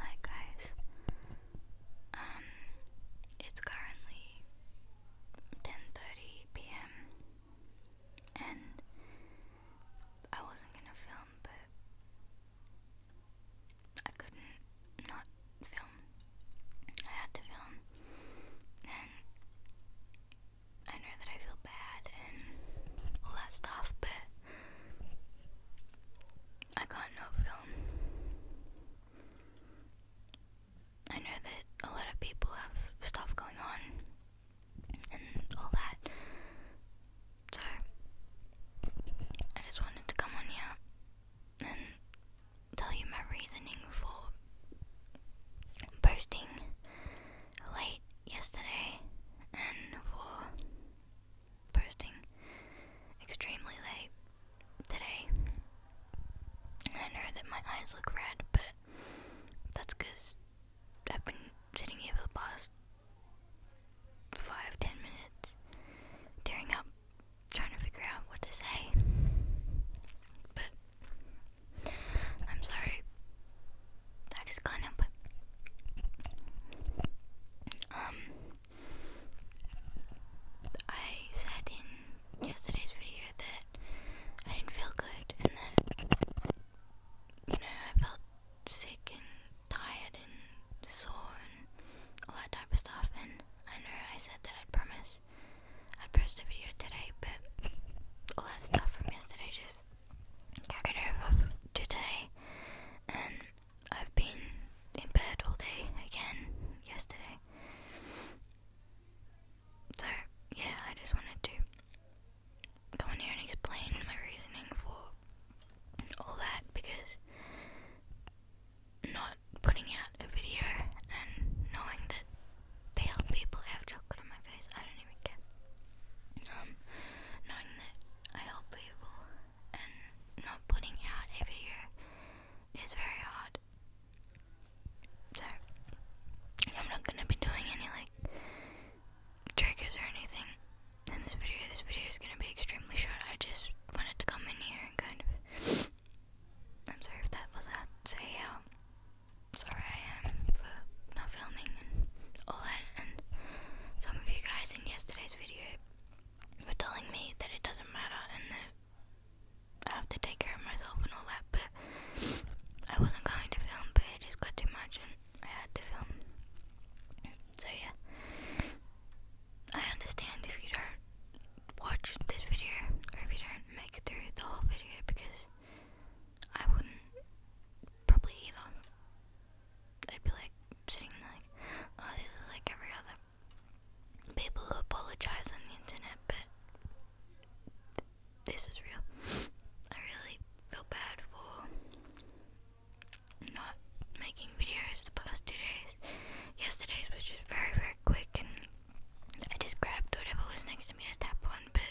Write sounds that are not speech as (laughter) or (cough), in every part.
Hi guys. Um it's currently 10:30 p.m. and I wasn't going to film but I couldn't not film. I had to film. And I know that I feel bad and all that but I got no film. I know that a lot of people have stuff going on and all that. So, I just wanted to come on here and tell you my reasoning for posting late yesterday and for posting extremely late today. I know that my eyes look red, but that's I've been sitting here for the past five, ten minutes, tearing up, trying to figure out what to say. But I'm sorry I just can't Um, I said in yesterday's video that I didn't feel good and that, you know, I felt sick and tired and sore and all that type of stuff. And I know I said that I'd promise I'd post a video today, but all that stuff from yesterday just got rid of today, and I've been in bed all day again yesterday. So, yeah, I just wanted to come in here and explain my reasoning for all that because not putting out a video and knowing that they help people have chocolate on my face, I don't even care. Um, knowing that I help people and not putting out a video is very hard. So, I'm not gonna be doing any like triggers or anything in this video. This video is gonna be extremely short. I just wanted to come in here and kind of. I'm sorry if that was that. Say how sorry I am for not filming and all that. And some of you guys in yesterday's video were telling me that it doesn't matter and that I have to take care of myself and all that, but I wasn't going to film, but it just got too much and I had to film. So, yeah. I understand if you don't watch this video or if you don't make it through the whole video because I wouldn't probably either. I'd be like sitting like, oh, this is like every other people who apologize on the internet, but this is real. I really feel bad for not making videos the past two days. Yesterday's was just very, very quick and I just grabbed whatever was next to me to tap on, but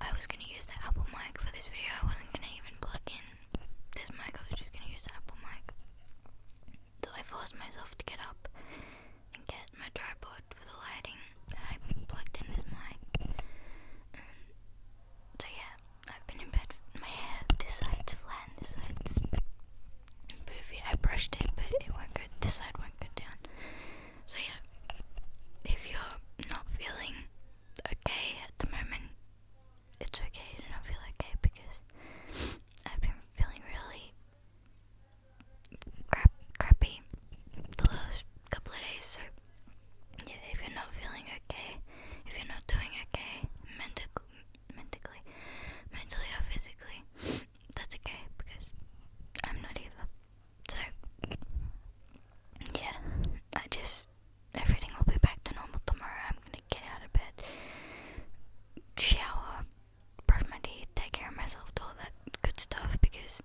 I was gonna use the Apple mic for this video. I wasn't gonna even plug in this mic, I was just gonna use the Apple mic. So I forced myself to get up and get my tripod for the lighting, and I plugged in this mic. so yeah, I've been in bed. My hair, this side's flat this side's poofy. I brushed it, but it won't go, this side won't go down. So yeah, if you're not feeling okay at the moment, it's okay to not feel okay because I've been feeling really crappy the last couple of days. So yeah, if you're not feeling okay, if you're not doing okay mentally, mentally, mentally or physically, that's okay because I'm not either. So, yeah, I just, everything will be back to normal tomorrow. I'm gonna get out of bed, shower, brush my teeth, take care of myself, do all that good stuff because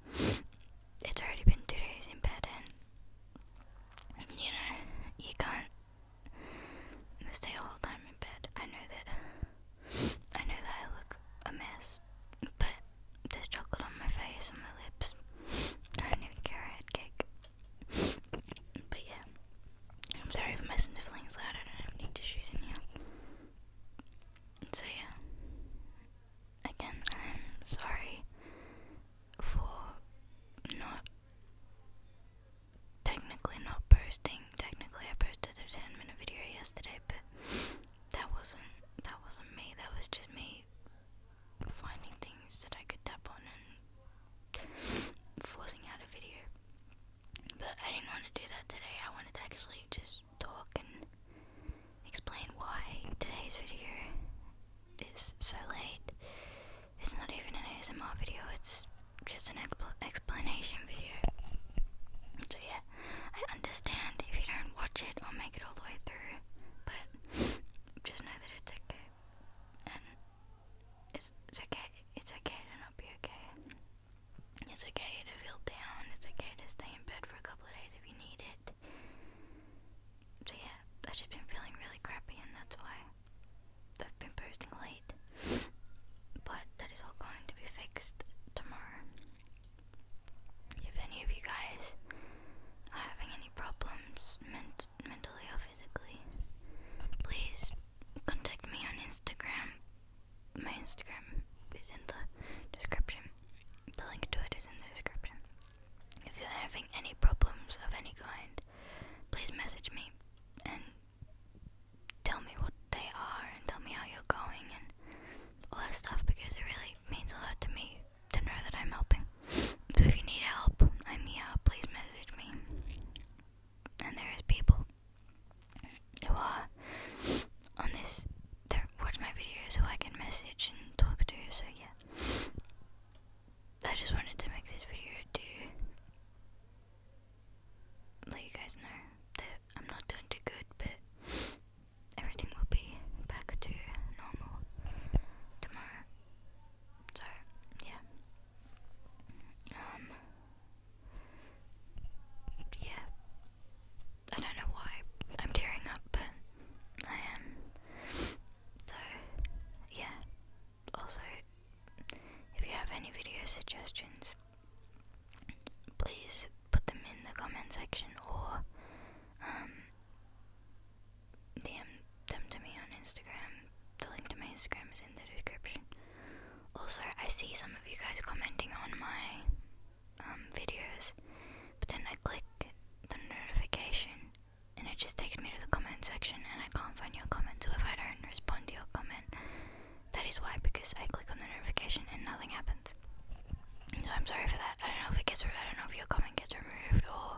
it's already been two days in bed and, you know, you can't stay all the time in bed. I know that. I know that I look a mess, but there's chocolate on my face and my lips. I don't even care, I had cake. But yeah, I'm sorry if my sniffling's loud, I don't have any tissues in here. So yeah, again, I'm sorry for not technically not posting Technically, I posted a 10 minute video yesterday, but that wasn't that wasn't me. That was just me finding things that I could tap on and forcing out a video. But I didn't want to do that today. I wanted to actually just talk and explain why today's video is so late. It's not even an ASMR video. It's just an explanation video. So yeah, I understand if you don't watch it or make it all the way through, but (sniffs) just know that it's okay. And it's, it's okay, it's okay to not be okay. It's okay to feel down, it's okay to stay in bed for a couple of days if you need it. So yeah, I've just been feeling really crappy and that's why. I've been posting late, but that is all going to be fixed tomorrow. If any of you guys are having any problems ment mentally or physically, please contact me on Instagram. My Instagram is in the description. The link to it is in the description. If you're having any problems of any kind, please message me and tell me what they are and tell me how you're going and all that stuff because it really means a lot to me to know that I'm helping. So if you need help, I'm here. Please message me. And there is people who are on this that watch my videos so I can message and talk to. you. So yeah, I just wanted to make this video to let you guys know that I'm not doing too good, but everything will be back to normal tomorrow. So, yeah. Um, yeah. I don't know why I'm tearing up, but I am. So, yeah also, if you have any video suggestions, please put them in the comment section or DM um, them to me on Instagram. The link to my Instagram is in the description. Also, I see some of you guys commenting on my um, videos, but then I click the notification and it just takes me to the comment section and I can't can find your comment. So if I don't respond to your comment, that is why because I click on the notification and nothing happens. So I'm sorry for that. I don't know if it gets. I don't know if your comment gets removed or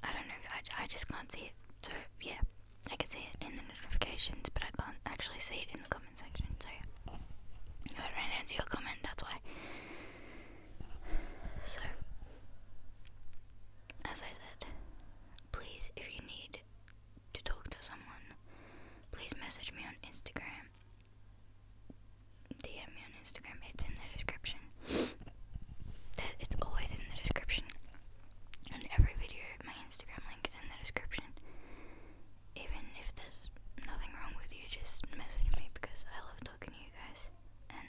I don't know. I I just can't see it. So yeah, I can see it in the notifications, but I can't actually see it in the comment section. So yeah. I don't answer your comment, that's why. So as I said, Please, if you need to talk to someone, please message me on Instagram. DM me on Instagram. It's in the description. it's always in the description. On every video, my Instagram link is in the description. Even if there's nothing wrong with you, just message me because I love talking to you guys. And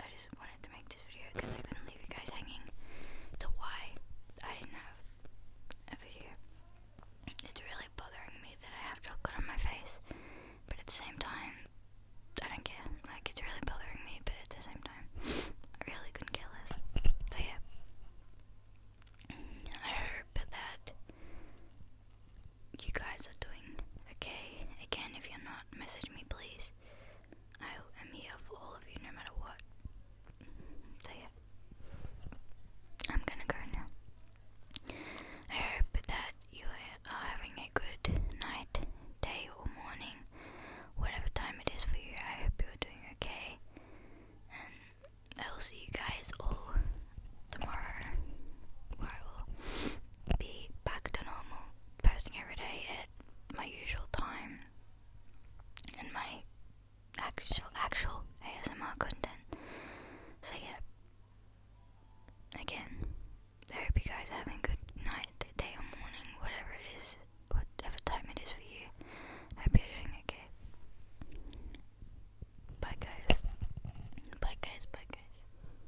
I just wanted to make this video because I couldn't leave you guys hanging to why I didn't have a video. It's really bothering me that I have good on my face, but at the same time, I don't care. Like, it's really bothering me, but at the same time, I really couldn't care less. So, yeah. I hope that you guys are doing okay. Again, if you're not, message me please. I am here for all of you no matter what. So, yeah. I'm gonna go now. I hope that you are having a good night, day, or morning, whatever time it is for you. I hope you're doing okay. And I will see you guys all tomorrow. Well, be back to normal, posting every day at my usual time and my actual actual ASMR content. So yeah. Again, I hope you guys are having a good night, day or morning, whatever it is, whatever time it is for you. I hope you're doing okay. Bye guys. Bye guys, bye guys.